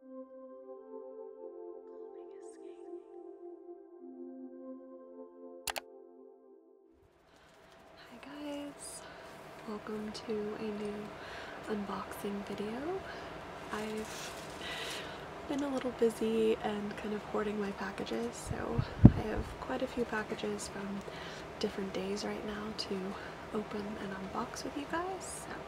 Hi guys, welcome to a new unboxing video. I've been a little busy and kind of hoarding my packages so I have quite a few packages from different days right now to open and unbox with you guys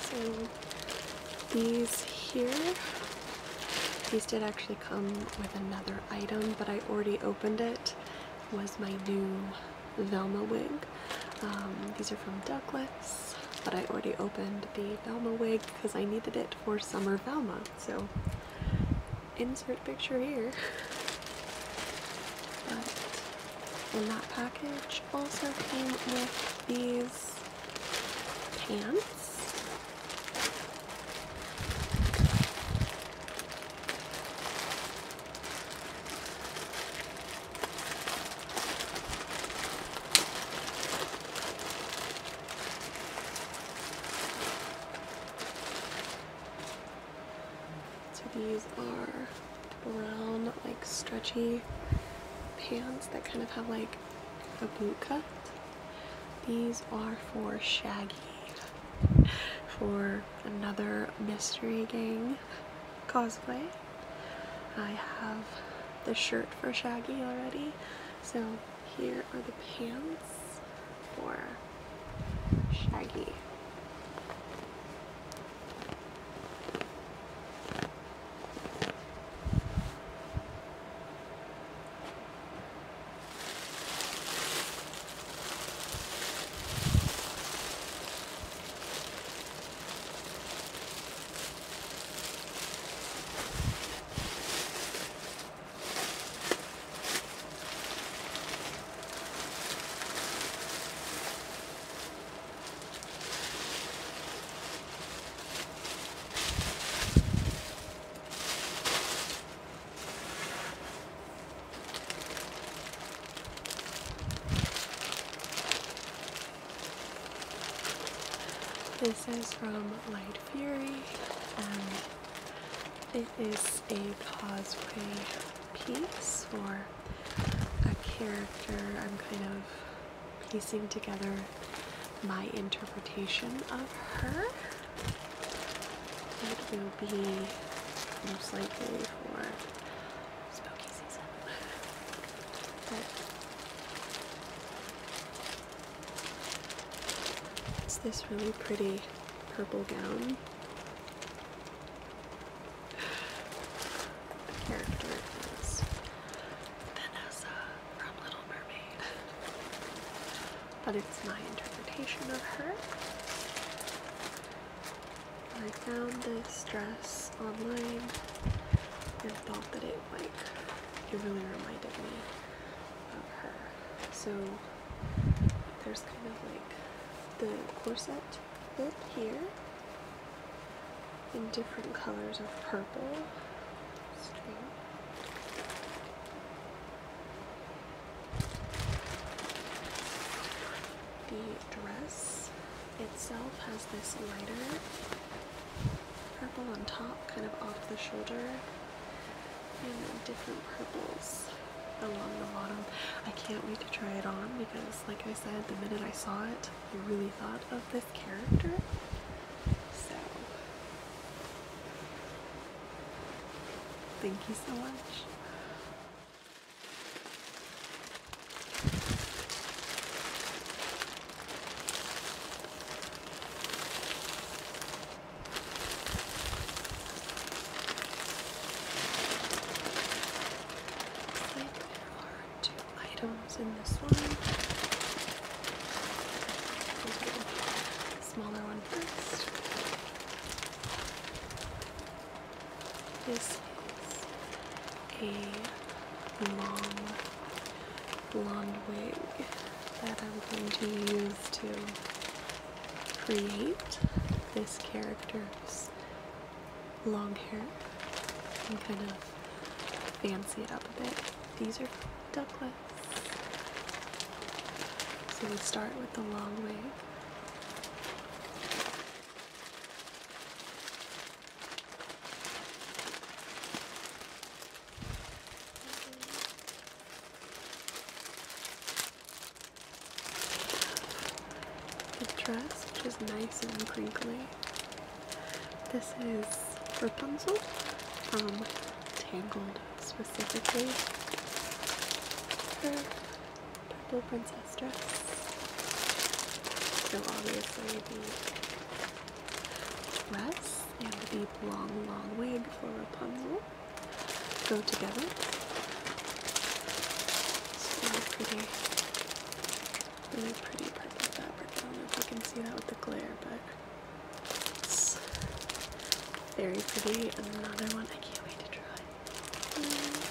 So these here, these did actually come with another item, but I already opened it. Was my new Velma wig. Um, these are from Douglas, but I already opened the Velma wig because I needed it for summer Velma so insert picture here. But in that package also came with these pants. So these are brown, like stretchy pants that kind of have like a boot cut. These are for Shaggy, for another Mystery Gang cosplay. I have the shirt for Shaggy already, so here are the pants for Shaggy. This is from Light Fury, and um, it is a causeway piece or a character. I'm kind of piecing together my interpretation of her. It will be most likely for spooky season. It's this really pretty purple gown. The character is Vanessa from Little Mermaid. But it's my interpretation of her. I found this dress online and thought that it like it really reminded me of her. So there's kind of like the corset bit here in different colors of purple The dress itself has this lighter purple on top, kind of off the shoulder, and then different purples along the bottom. I can't wait to try it on because, like I said, the minute I saw it, I really thought of this character. So, thank you so much there are two items in this one. smaller one first. This is a long blonde wig that I'm going to use to create this character's long hair and kind of fancy it up a bit. These are ducklets. So we start with the long wig. The dress, which is nice and crinkly. This is Rapunzel from um, Tangled, specifically her purple princess dress. So obviously the dress and the long, long wig for Rapunzel go together. It's really pretty, really pretty purple fabric. I don't know if you can see that with the glare, but it's very pretty. another one I can't wait to try.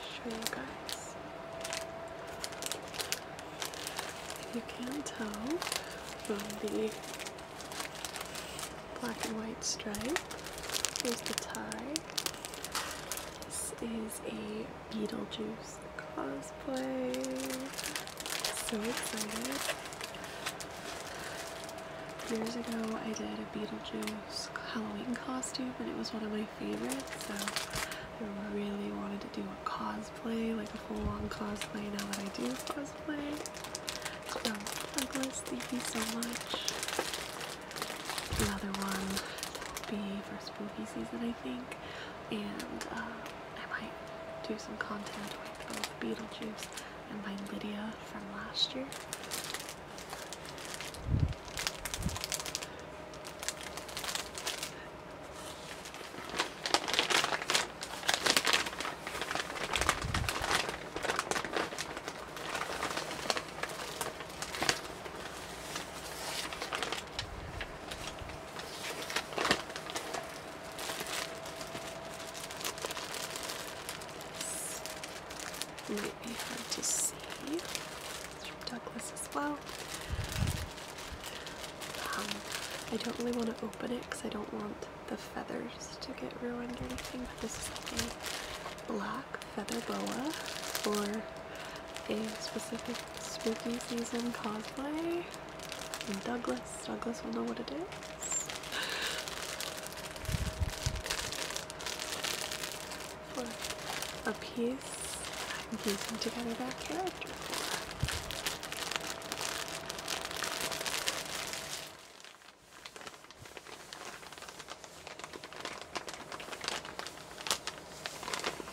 Show you guys. If you can tell from the black and white stripe, here's the tie. This is a Beetlejuice cosplay. So excited. Years ago I did a Beetlejuice Halloween costume and it was one of my favorites so I really wanted to do a cosplay, like a full-on cosplay now that I do cosplay. So Douglas, thank you so much. Another one will be for spooky season I think and uh, I might do some content with both Beetlejuice and my Lydia from last year. It hard to see. It's from Douglas as well. Um, I don't really want to open it because I don't want the feathers to get ruined or anything, but this is like a black feather boa for a specific spooky season cosplay. Douglas. Douglas will know what it is. For a piece I'm piecing together that character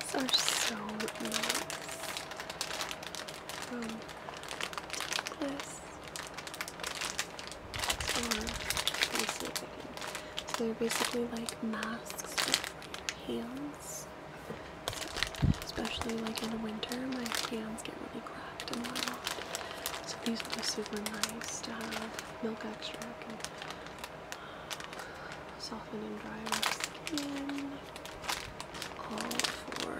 These are so nice. From Douglas. Or, So they're basically like masks for your hands. especially like in the winter, my hands get really cracked and whatnot. So these would be super nice to have. Milk extract soften and dry my skin. All for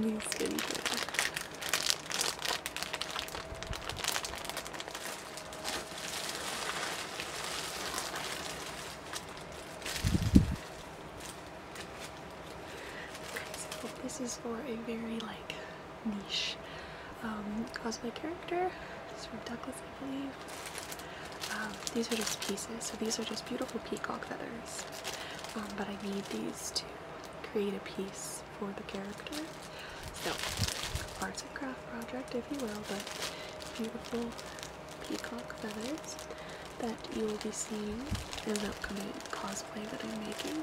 new skincare. Okay, so this is for a very like niche um, cosplay character. It's from Douglas um, these are just pieces, so these are just beautiful peacock feathers. Um, but I need these to create a piece for the character. So, arts and craft project, if you will, but beautiful peacock feathers that you will be seeing in the upcoming cosplay that I'm making.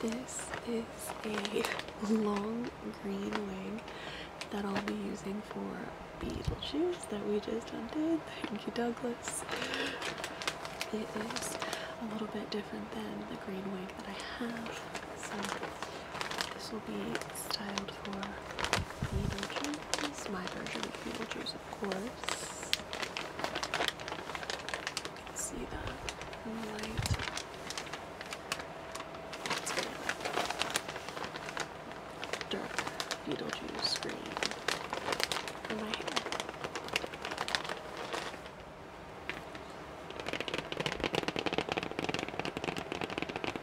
This is a long green wig that I'll be using for Beetlejuice that we just did. Thank you, Douglas. It is a little bit different than the green wig that I have. So this will be styled for Beetlejuice, my version of Beetlejuice, of course. see that light. It's kind of dark Beetlejuice green for my hair. You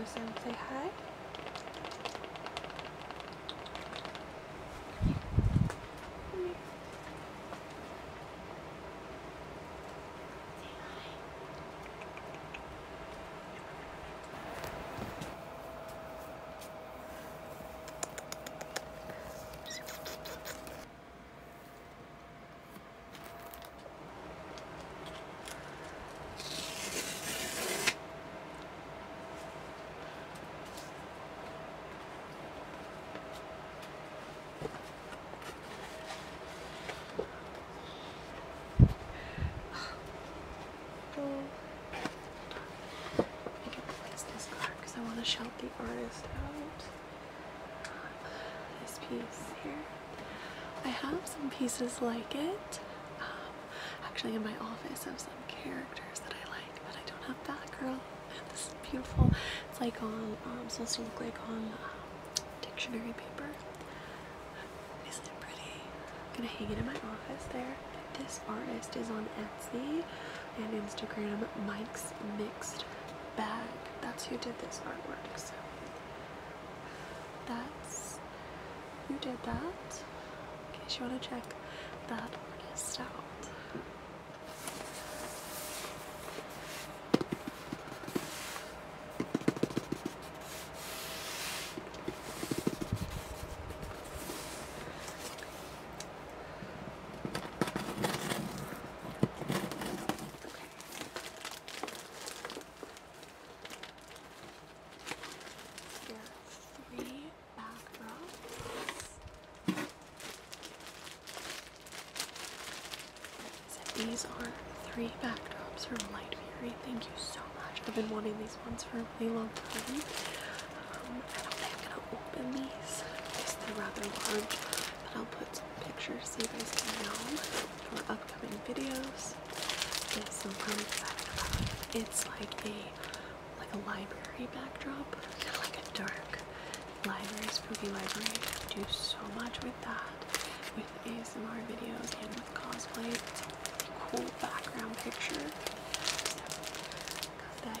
guys want to say hi? Say hi. I can place this card because I want to shout the artist out this piece here. I have some pieces like it. Um, actually, in my office, I have some characters that I like, but I don't have Batgirl. And this is beautiful. It's like on, um, supposed to look like on um, dictionary paper. Isn't it pretty? I'm gonna hang it in my office there. This artist is on Etsy and Instagram Mike's Mixed Bag. That's who did this artwork. So that's who did that. In case you want to check that artist out. These are three backdrops from Light Fury. Thank you so much. I've been wanting these ones for a really long time. Um, I don't think I'm going to open these because they're rather large, but I'll put pictures so you guys can know for upcoming videos. This i excited about. It's like a like a library backdrop, like a dark library, spooky library. do so much with that, with ASMR videos and with cosplay. It's a really cool background picture.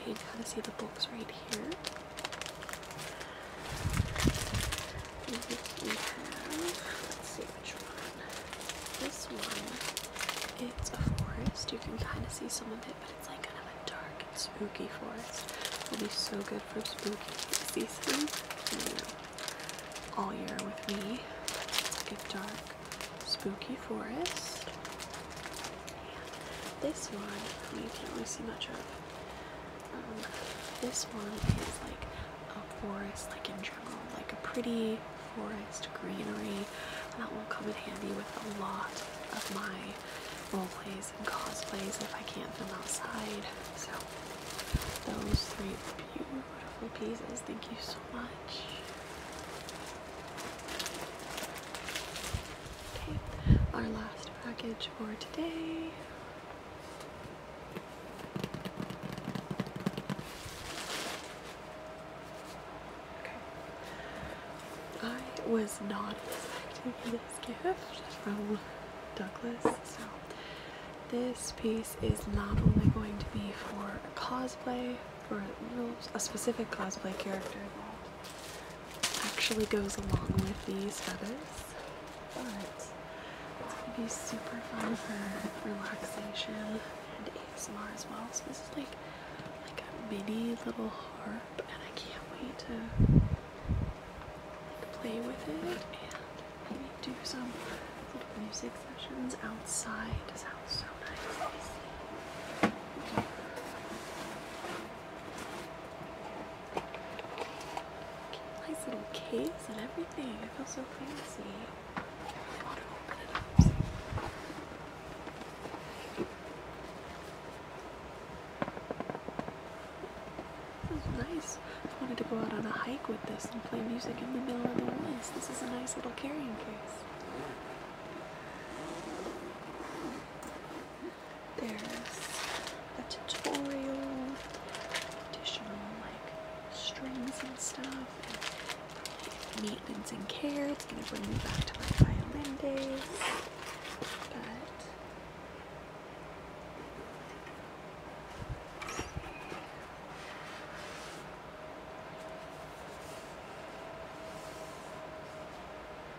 You can kind of see the books right here let's see which one. This one, it's a forest. You can kind of see some of it, but it's like kind of a dark and spooky forest. It'll be so good for spooky season. You know, all year with me. It's a dark, spooky forest. And this one, you can't really see much of. Um, this one is like a forest, like in general, like a pretty forest greenery. That will come in handy with a lot of my role plays and cosplays if I can't film outside. So those three beautiful pieces. Thank you so much. Okay, our last package for today. Okay. I was not expecting this gift from Douglas, so this piece is not only going to be for cosplay, for a specific cosplay character actually goes along with these feathers, but it's going to be super fun for relaxation and ASMR as well. So this is like like a mini little harp, and I can't wait to play with it and do some little music sessions outside. sounds so nice. Nice little case and everything. I feel so fancy. This is nice. I wanted to go out on a hike with this and play music in the middle of the woods. This is a nice little carrying case. There's a tutorial, additional like strings and stuff, and meatlings and care. It's gonna bring me back to my violin days. But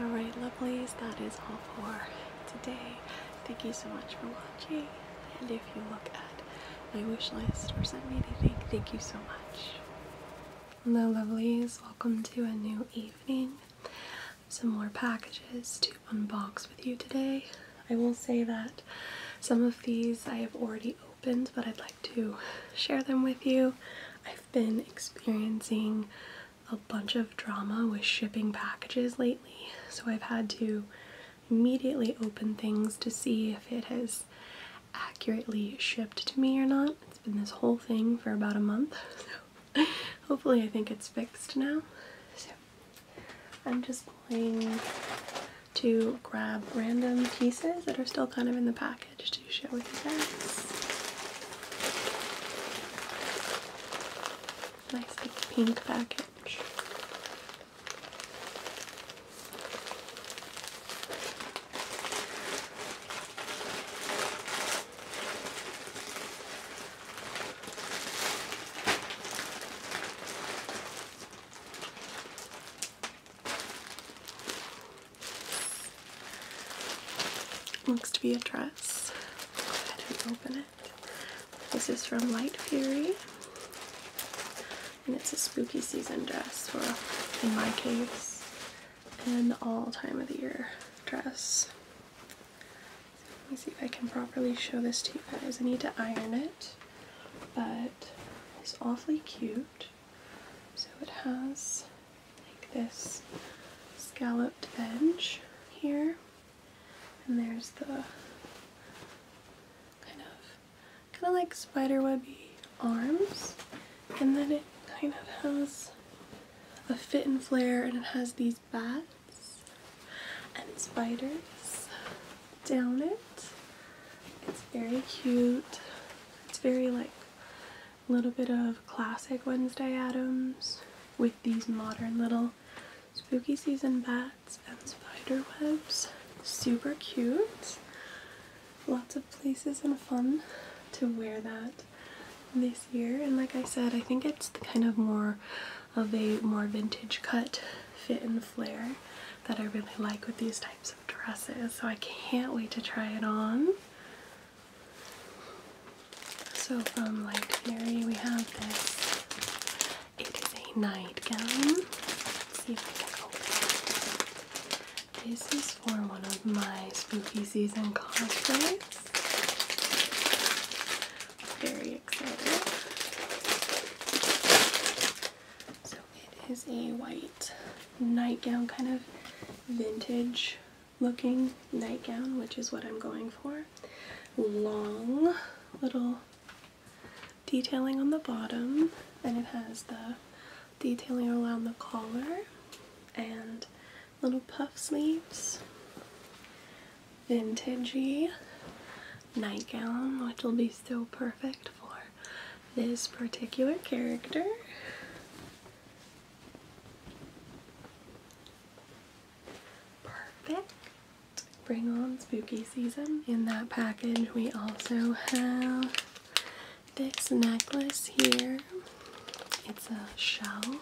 Alright, lovelies, that is all for today. Thank you so much for watching. And if you look at my wish list for send me anything, thank you so much. Hello, lovelies. Welcome to a new evening. Some more packages to unbox with you today. I will say that some of these I have already but I'd like to share them with you. I've been experiencing a bunch of drama with shipping packages lately, so I've had to immediately open things to see if it has accurately shipped to me or not. It's been this whole thing for about a month, so hopefully I think it's fixed now. So I'm just playing to grab random pieces that are still kind of in the package to share with you guys. Nice like, pink package. Looks to be a dress. Go ahead and open it. This is from Light Fury. And it's a spooky season dress for, in my case, an all time of the year dress. let me see if I can properly show this to you guys. I need to iron it, but it's awfully cute. So it has like this scalloped edge here, and there's the kind of kind of like spiderwebby arms, and then it kind of has a fit and flare, and it has these bats and spiders down it. It's very cute. It's very like a little bit of classic Wednesday Adams with these modern little spooky season bats and spider webs. Super cute. Lots of places and fun to wear that this year and like I said I think it's the kind of more of a more vintage cut fit and flare that I really like with these types sorts dresses, so I can't wait to try it on. So from Light Fury we have this. It is a nightgown. Let's see if I can open This is for one of my spooky season costumes. Very excited. So it is a white nightgown, kind of vintage looking nightgown, which is what I'm going for. Long little detailing on the bottom, and it has the detailing around the collar and little puff sleeves. Vintagey nightgown, which will be so perfect for this particular character. Perfect. Bring on spooky season. In that package we also have this necklace here. It's a shell. And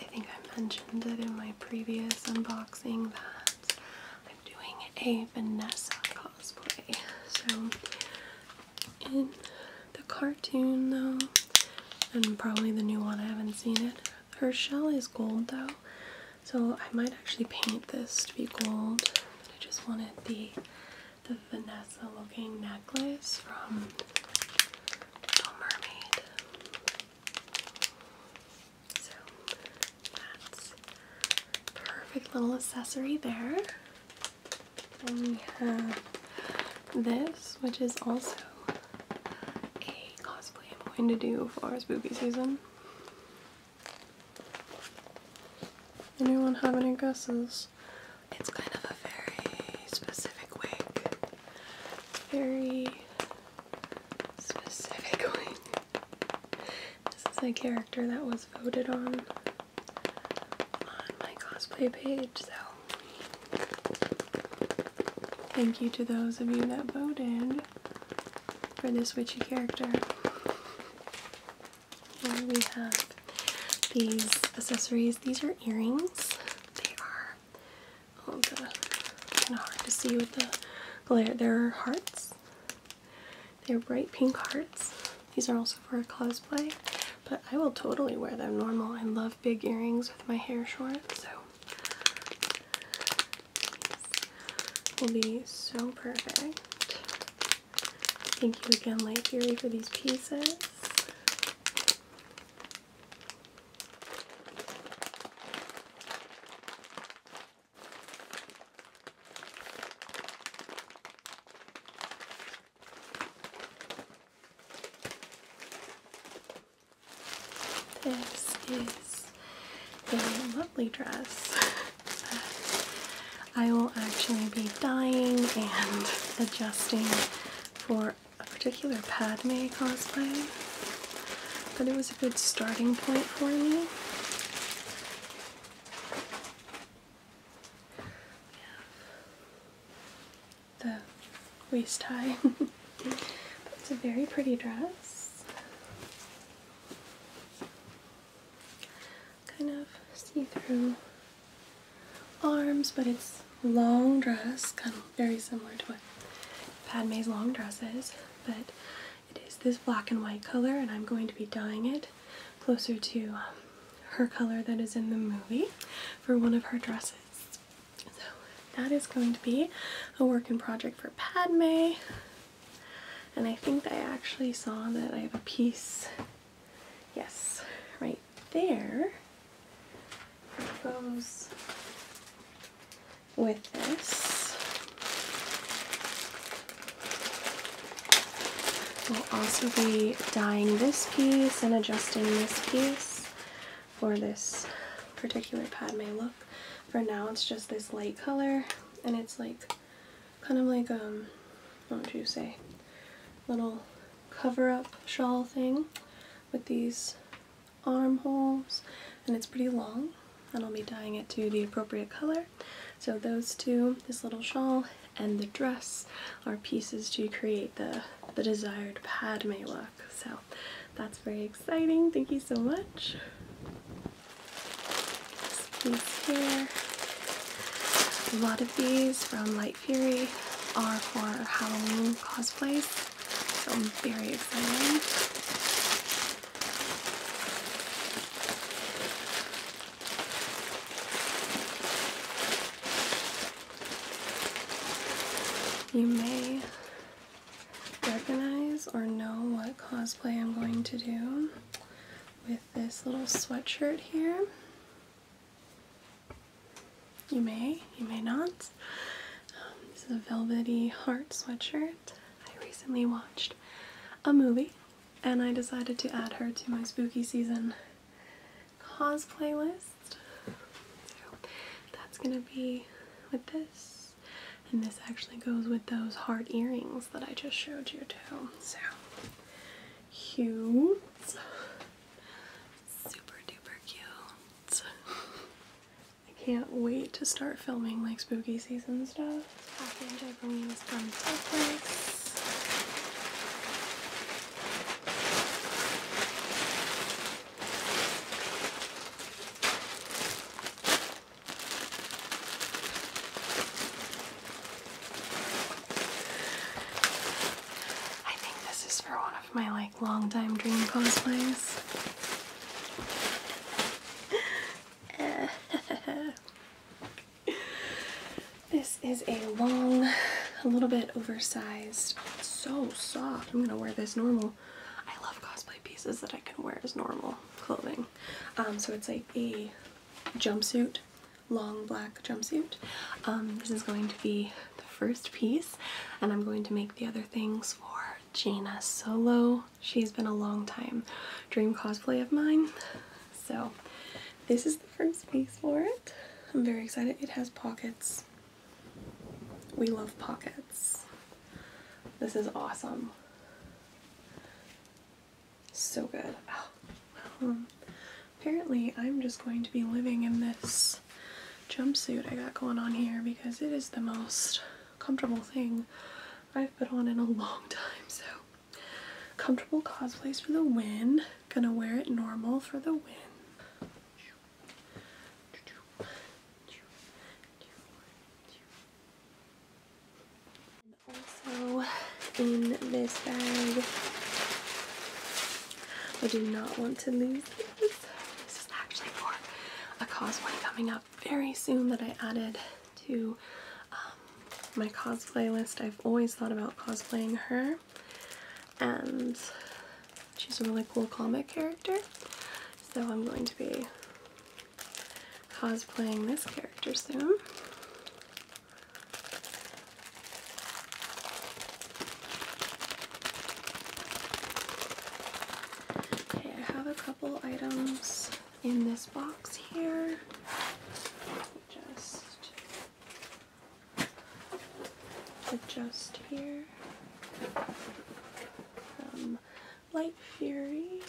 I think I mentioned it in my previous unboxing that doing a Vanessa cosplay. So, in the cartoon, though, and probably the new one, I haven't seen it. Her shell is gold, though, so I might actually paint this to be gold. But I just wanted the the Vanessa looking necklace from Little Mermaid. That's perfect little accessory there. And we have this, which is also a cosplay I'm going to do for spooky season. Anyone have any guesses? It's kind of a very specific wig. Very specific wig. This is a character that was voted on on my cosplay page, so thank you to those of you that voted for this witchy character. Here we have these accessories. These are earrings. They are oh kind of hard to see with the glare. They're hearts. They're bright pink hearts. These are also for a cosplay, but I will totally wear them normal. I love big earrings with my hair short, so these will be so perfect. Thank you again, Light Theory, for these pieces. This is a lovely dress I will actually be dyeing and adjusting for a particular Padme cosplay, but it was a good starting point for me. We the waist tie. it's a very pretty dress. Kind of see-through arms, but it's long dress, kind of very similar to what Padme's long dress is, but it is this black and white color and I'm going to be dyeing it closer to um, her color that is in the movie for one of her dresses. So that is going to be a work in project for Padme. And I think I actually saw that I have a piece, yes, right there goes with this. We'll also be dyeing this piece and adjusting this piece for this particular Padme look. For now it's just this light color and it's like kind of like um what would you say little cover-up shawl thing with these armholes and it's pretty long and I'll be dyeing it to the appropriate color so those two, this little shawl and the dress, are pieces to create the, the desired Padme look. So that's very exciting. Thank you so much. piece here. A lot of these from Light Fury are for Halloween cosplays. So I'm very excited. You may recognize or know what cosplay I'm going to do with this little sweatshirt here. You may, you may not. Um, this is a velvety heart sweatshirt. I recently watched a movie and I decided to add her to my spooky season cosplay list. that's gonna be with this. And this actually goes with those heart earrings that I just showed you too. So cute. Super duper cute. I can't wait to start filming like spooky season stuff. I I think this is for one of my like long-time dream cosplays. This is a long, a little bit oversized. so soft. I'm gonna wear this normal. I love cosplay pieces that I can wear as normal clothing. Um, so it's like a jumpsuit, long black jumpsuit. Um, this is going to be the first piece, and I'm going to make the other things for Gina Solo. She's been a long time dream cosplay of mine. So this is First piece for it. I'm very excited. It has pockets. We love pockets. This is awesome. So good. Oh, um, apparently, I'm just going to be living in this jumpsuit I got going on here because it is the most comfortable thing I've put on in a long time. So Comfortable cosplays for the win. Gonna wear it normal for the win. Also, in this bag, I do not want to lose this. This is actually for a cosplay coming up very soon that I added to my cosplay list. I've always thought about cosplaying her, and she's a really cool comic character, so I'm going to be cosplaying this character soon. Okay, I have a couple items in this box here. Just adjust here um, Light Fury.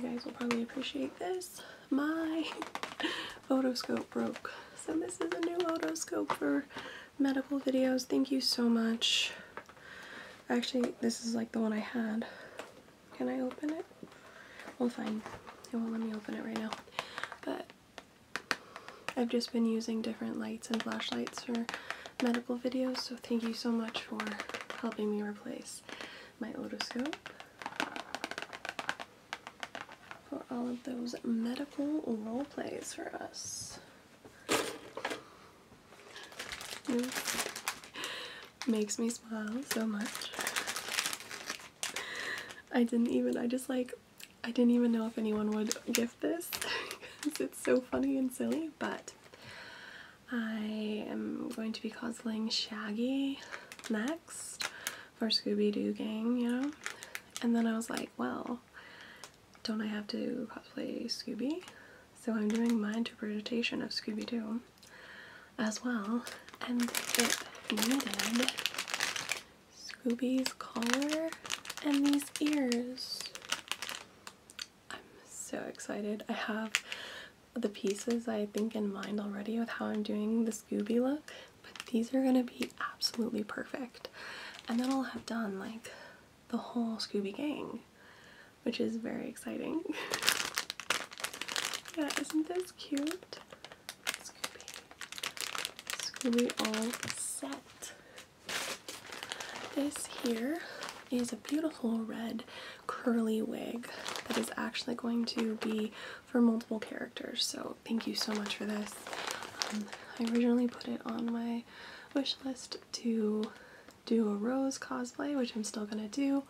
You guys will probably appreciate this. My photoscope broke. So this is a new photoscope for medical videos. Thank you so much. Actually, this is like the one I had. Can I open it? Well, fine. It won't let me open it right now. But I've just been using different lights and flashlights for medical videos, so thank you so much for helping me replace my otoscope for all of those medical role plays for us makes me smile so much. I didn't even, I just like, I didn't even know if anyone would gift this because it's so funny and silly, but I am going to be cosplaying Shaggy next for Scooby-Doo gang, you know? And then I was like, well, don't I have to cosplay Scooby? So I'm doing my interpretation of Scooby-Doo as well. And it needed Scooby's collar and these ears. I'm so excited. I have the pieces I think in mind already with how I'm doing the Scooby look, but these are gonna be absolutely perfect. And then I'll have done like the whole Scooby gang, which is very exciting. yeah, isn't this cute? Scooby. Scooby all set. This here is a beautiful red curly wig that is actually going to be for multiple characters. So thank you so much for this. Um, I originally put it on my wish list to do a rose cosplay, which I'm still gonna do.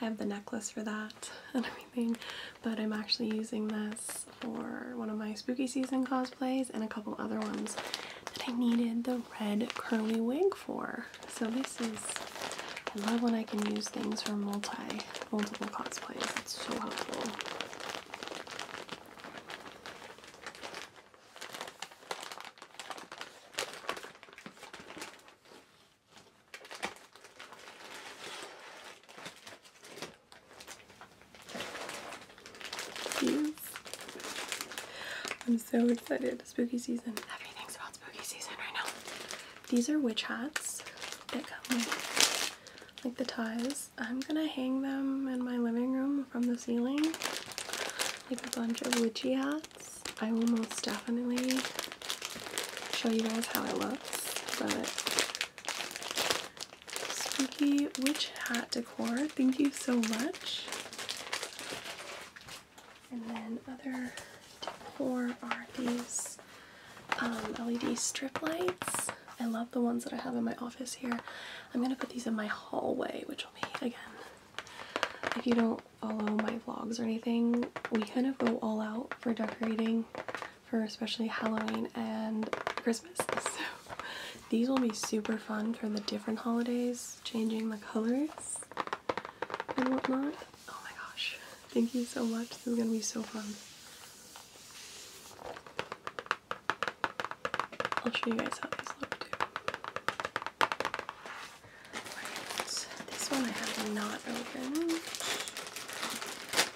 I have the necklace for that and everything but I'm actually using this for one of my spooky season cosplays and a couple other ones that I needed the red curly wig for. So this is, I love when I can use things for multi, multiple cosplays. It's so helpful. I'm so excited. Spooky season. Everything's about spooky season right now. These are witch hats that come with like the ties. I'm gonna hang them in my living room from the ceiling. Like a bunch of witchy hats. I will most definitely show you guys how it looks. but Spooky Witch Hat Decor. Thank you so much. And then other decor are these um, LED strip lights. I love the ones that I have in my office here. I'm going to put these in my hallway, which will be, again, if you don't follow my vlogs or anything, we kind of go all out for decorating for especially Halloween and Christmas. So these will be super fun for the different holidays, changing the colors and whatnot. Oh my gosh, thank you so much. This is gonna be so fun. I'll show you guys how these look too. this one I have not opened. This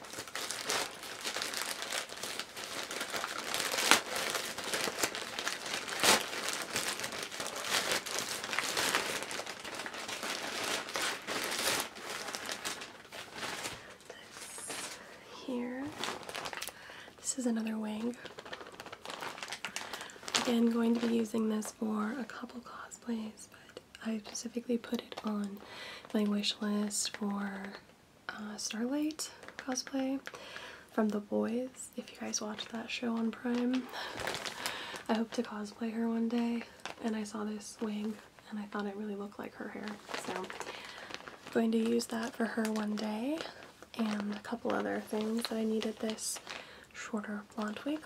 here. This is another wing. Again, going to be using this for a couple cosplays, but I specifically put it on my wish list for uh, Starlight cosplay from The Boys. If you guys watch that show on Prime, I hope to cosplay her one day. And I saw this wig and I thought it really looked like her hair. So I'm going to use that for her one day and a couple other things that I needed this shorter blonde wig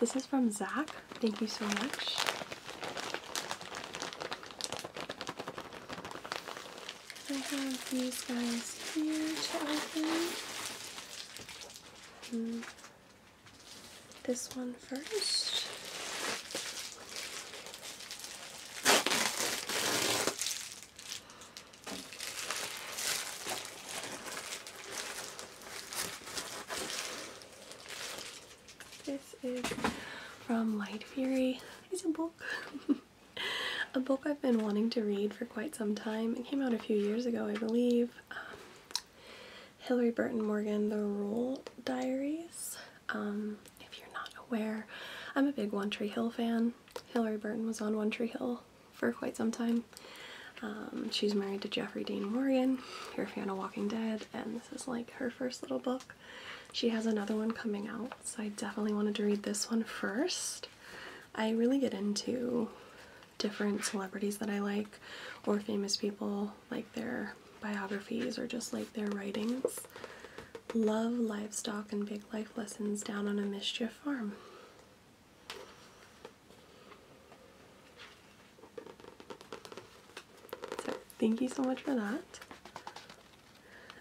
this is from Zach. Thank you so much. I have these guys here to open. Hmm. This one first. This is from Light Fury. It's a book. a book I've been wanting to read for quite some time. It came out a few years ago, I believe. Um, Hillary Burton Morgan, The Rule Diaries. Um, if you're not aware, I'm a big One Tree Hill fan. Hillary Burton was on One Tree Hill for quite some time. Um, she's married to Jeffrey Dean Morgan. If you're a fan of Walking Dead, and this is like her first little book. She has another one coming out, so I definitely wanted to read this one first. I really get into different celebrities that I like or famous people, like their biographies or just like their writings. Love livestock and big life lessons down on a mischief farm thank you so much for that.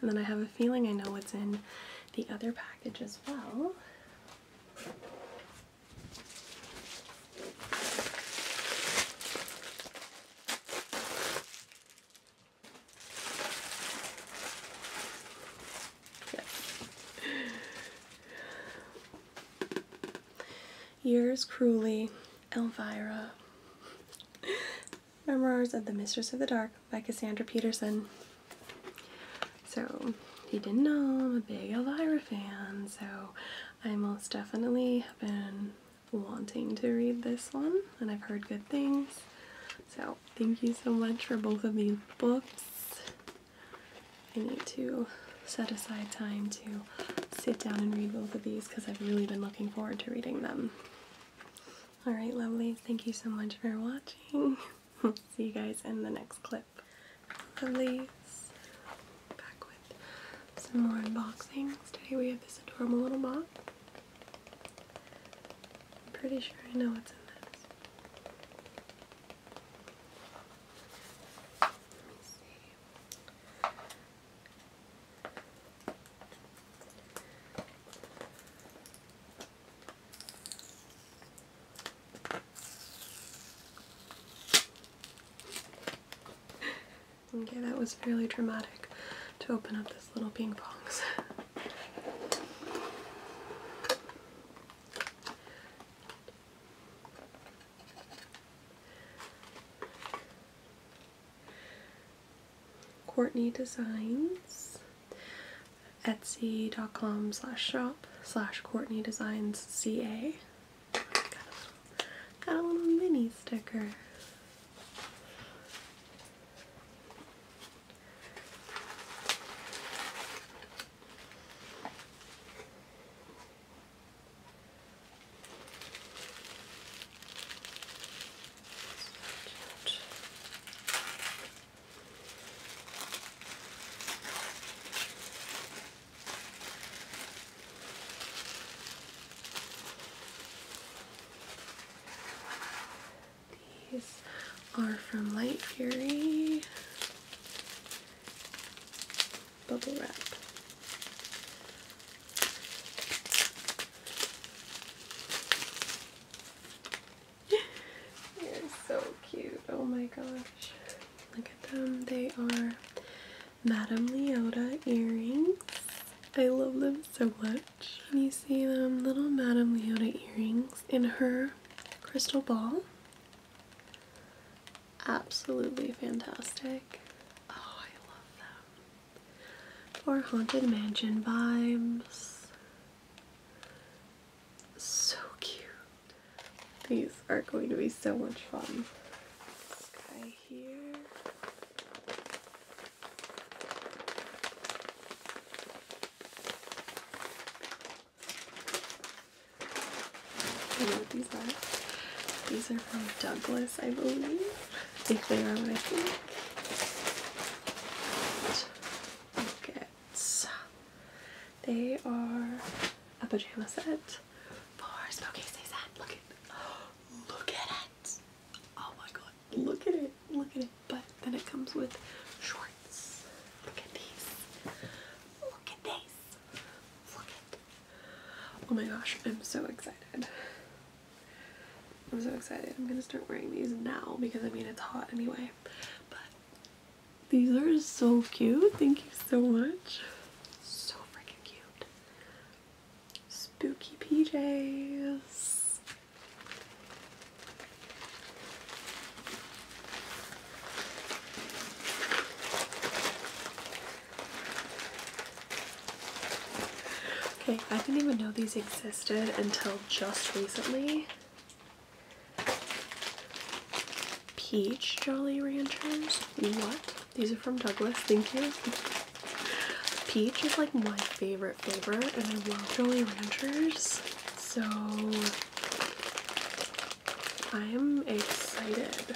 And then I have a feeling I know what's in the other package as well. Yes. Yours cruelly, Elvira. Memoirs of the Mistress of the Dark by Cassandra Peterson. So, if you didn't know, I'm a big Elvira fan, so I most definitely have been wanting to read this one, and I've heard good things. So, thank you so much for both of these books. I need to set aside time to sit down and read both of these because I've really been looking forward to reading them. Alright, lovelies, thank you so much for watching. See you guys in the next clip. Lovelies, back with some more unboxings. Today we have this adorable little box. I'm pretty sure I know what's in this. Let me see. Okay, that was fairly dramatic to open up this little ping pong. Courtney Designs, Etsy.com slash shop slash Courtney Designs CA. got a little mini sticker. So cute. These are from Light Fury bubble wrap. They're so cute. Oh my gosh. Look at them. They are Madame Leota earrings. I love them so much. And you see them little Madame Leota earrings in her crystal ball absolutely fantastic. Oh, I love them. For Haunted Mansion vibes. So cute. These are going to be so much fun. You know what these are? These are from Douglas, I believe. I they are what I think. Buckets. They are a pajama set for Smokey Season. Look at look at it. Oh my god. Look at it. Look at it. But then it comes with shorts. Look at these. Look at these. Look at Oh my gosh, I'm so excited. I'm so excited. I'm gonna start wearing these now because I mean it's hot anyway. But these are so cute. Thank you so much. So freaking cute. Spooky PJs. Okay, I didn't even know these existed until just recently. Peach Jolly Ranchers. What? These are from Douglas. Thank you. Peach is like my favorite flavor, and I love Jolly Ranchers. So I am excited.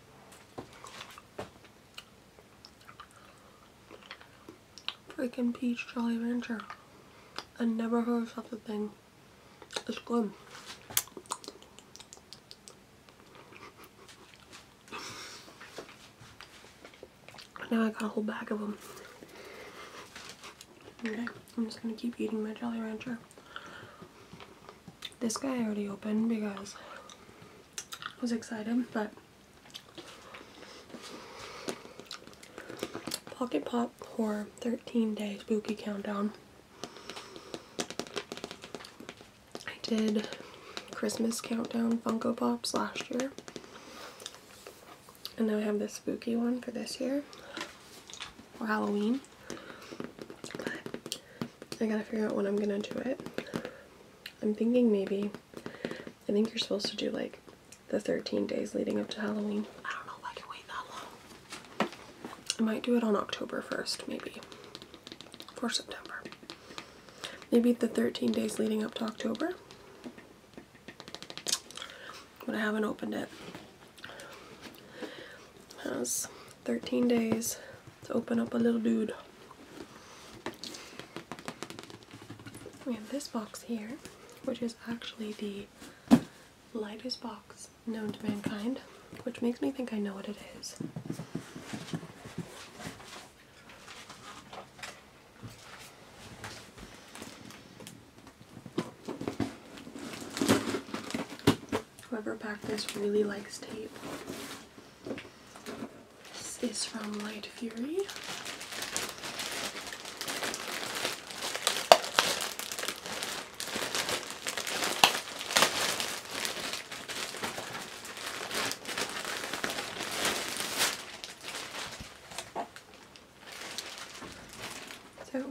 Freaking peach Jolly Rancher. I never heard of such a thing. It's good. Now I got a whole bag of them. Okay, I'm just gonna keep eating my Jolly Rancher. This guy I already opened because I was excited, but Pocket Pop Horror 13 Day Spooky Countdown. I did Christmas Countdown Funko Pops last year. And now I have this spooky one for this year. For Halloween. I gotta figure out when I'm gonna do it. I'm thinking maybe, I think you're supposed to do like the 13 days leading up to Halloween. I don't know if I can wait that long. I might do it on October 1st, maybe, for September. Maybe the 13 days leading up to October. But I haven't opened It has 13 days to open up a little dude. We have this box here, which is actually the lightest box known to mankind, which makes me think I know what it is. Whoever packed this really likes tape. This is from Light Fury. So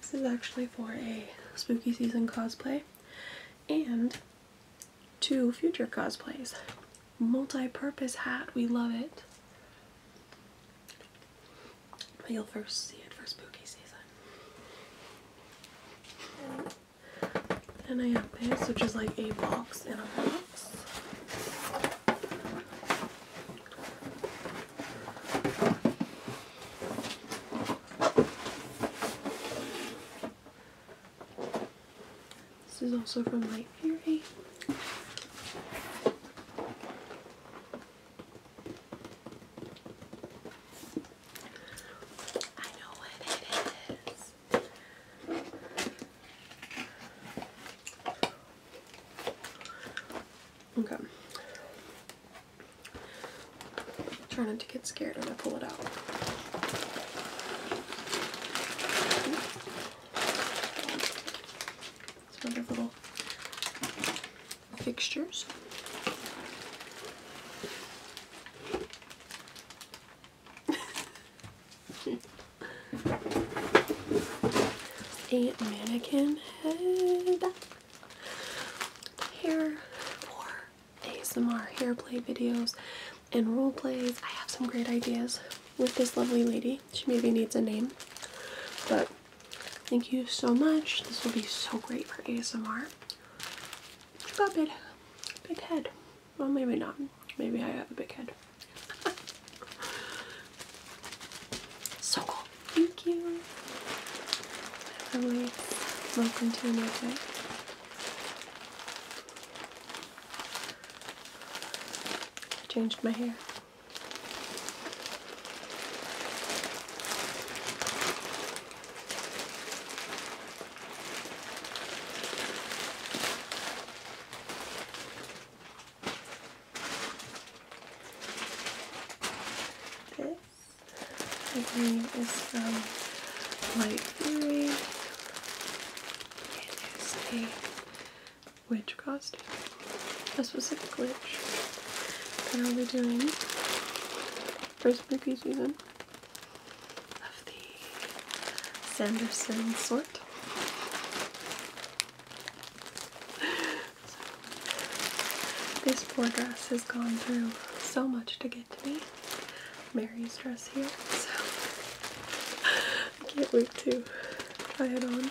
this is actually for a spooky season cosplay and two future cosplays. Multi-purpose hat, we love it. But you'll first see it for spooky season. And I have this, which is like a box in a box. This is also from Light Fury. I know what it is. Okay. Trying not to get scared when I pull it out. Some other little fixtures. a mannequin head here for ASMR hair play videos and role plays. I have some great ideas with this lovely lady. She maybe needs a name, but thank you so much. This will be so great for ASMR. She got big head. Well, maybe not. Maybe I have a big head. So cool. Thank you. Hello. Welcome to another day. I changed my hair. This I is from Light Fury. It is a witch costume, a specific witch that I'll be doing first movie season of the Sanderson sort this poor dress has gone through so much to get to me. Mary's dress here, so I can't wait to try it on.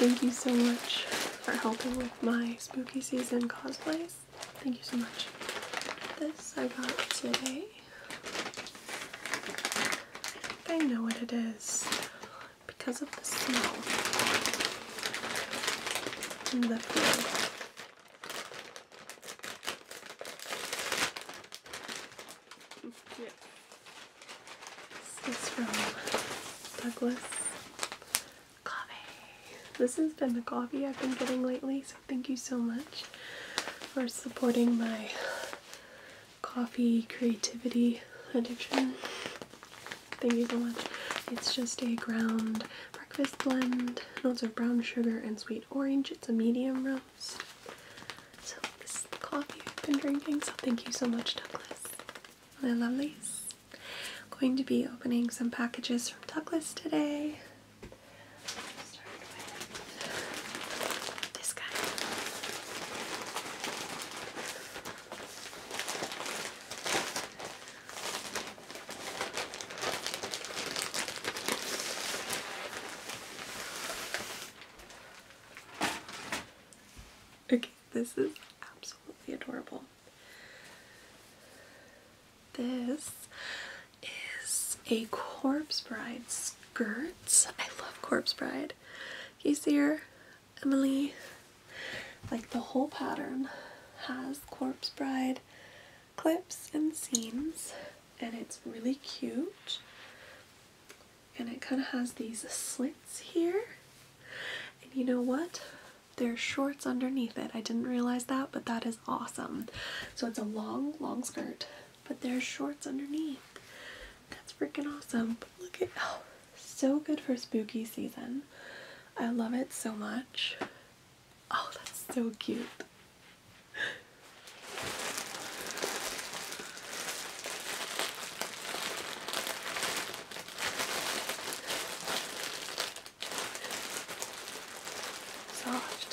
Thank you so much for helping with my spooky season cosplays. Thank you so much. This I got today. I, I know what it is because of the smell and Yeah. This is from Douglas Coffee. This has been the coffee I've been getting lately, so thank you so much for supporting my coffee creativity addiction. Thank you so much. It's just a ground breakfast blend, notes of brown sugar and sweet orange. It's a medium roast. So this is the coffee I've been drinking. So thank you so much, Douglas. My lovelies. i going to be opening some packages from Douglas today. this guy. Okay, this is absolutely adorable. This is a Corpse Bride skirt. I love Corpse Bride. You see her? Emily. Like the whole pattern has Corpse Bride clips and seams and it's really cute and it kind of has these slits here and you know what there's shorts underneath it I didn't realize that but that is awesome so it's a long long skirt but there's shorts underneath that's freaking awesome but look at oh so good for spooky season. I love it so much. Oh, that's so cute. Soft.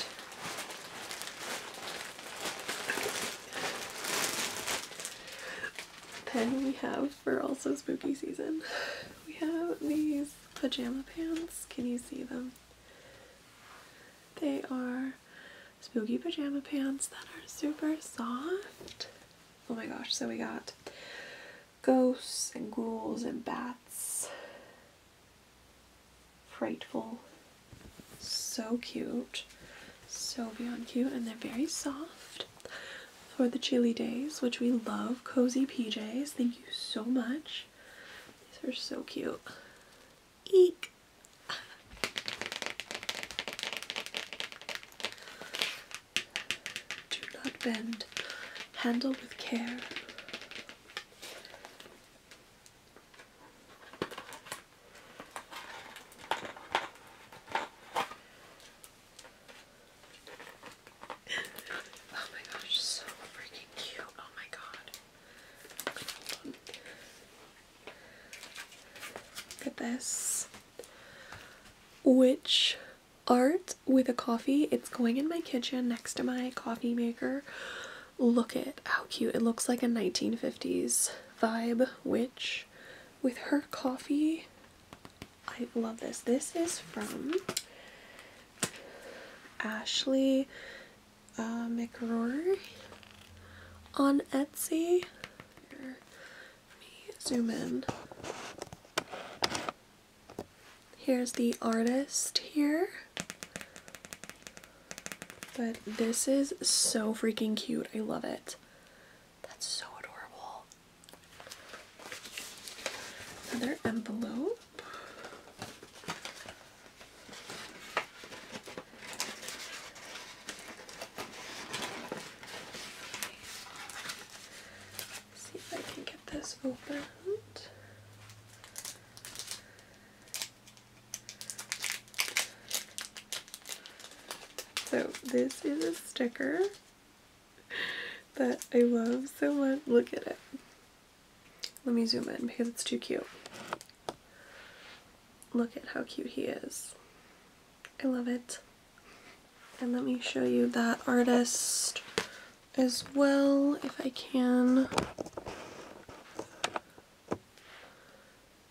Then we have for also spooky season. We have these pajama pants. Can you see them? They are spooky pajama pants that are super soft. Oh my gosh, so we got ghosts and ghouls and bats. Frightful. So cute. So beyond cute and they're very soft for the chilly days, which we love. Cozy PJs. Thank you so much. These are so cute. Eek! Do not bend. Handle with care oh my gosh, so freaking cute. Oh my god. Look at this. Witch art with a coffee. It's going in my kitchen next to my coffee maker. Look at how cute. It looks like a 1950s vibe witch with her coffee. I love this. This is from Ashley uh, McRory on Etsy. zoom in. Here's the artist here. But this is so freaking cute. I love it. That's so adorable. Another envelope. see if I can get this opened. So this is a sticker that I love so much. Look at it. Let me zoom in because it's too cute. Look at how cute he is. I love it. And let me show you that artist as well, if I can.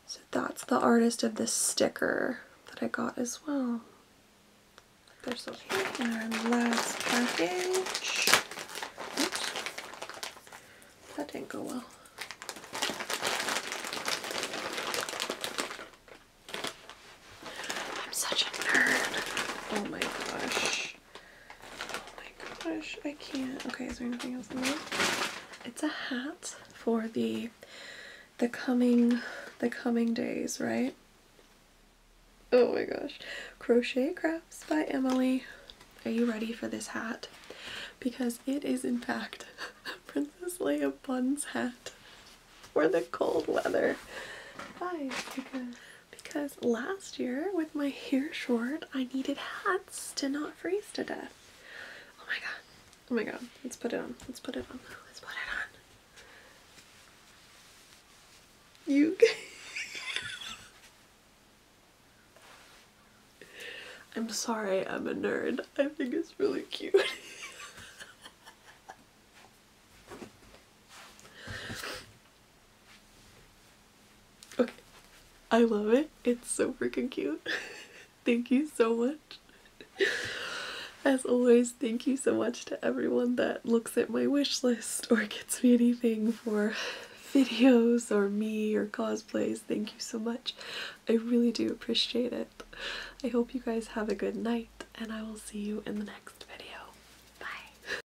So that's the artist of this sticker that I got as well. Bristol Cake. And our last package. That didn't go well. I'm such a nerd. Oh my gosh. Oh my gosh, I can't. Okay, is there anything else in there? It's a hat for the the coming the coming days, right? Oh my gosh. Crochet Crafts by Emily. Are you ready for this hat? Because it is in fact Princess Leia Bun's hat for the cold weather. Guys, because, because last year with my hair short, I needed hats to not freeze to death. Oh my god. Oh my god. Let's put it on. Let's put it on. Let's put it on. You. I'm sorry, I'm a nerd. I think it's really cute. okay. I love it. It's so freaking cute. Thank you so much. As always, thank you so much to everyone that looks at my wish list or gets me anything for videos or me or cosplays. Thank you so much. I really do appreciate it. I hope you guys have a good night and I will see you in the next video. Bye!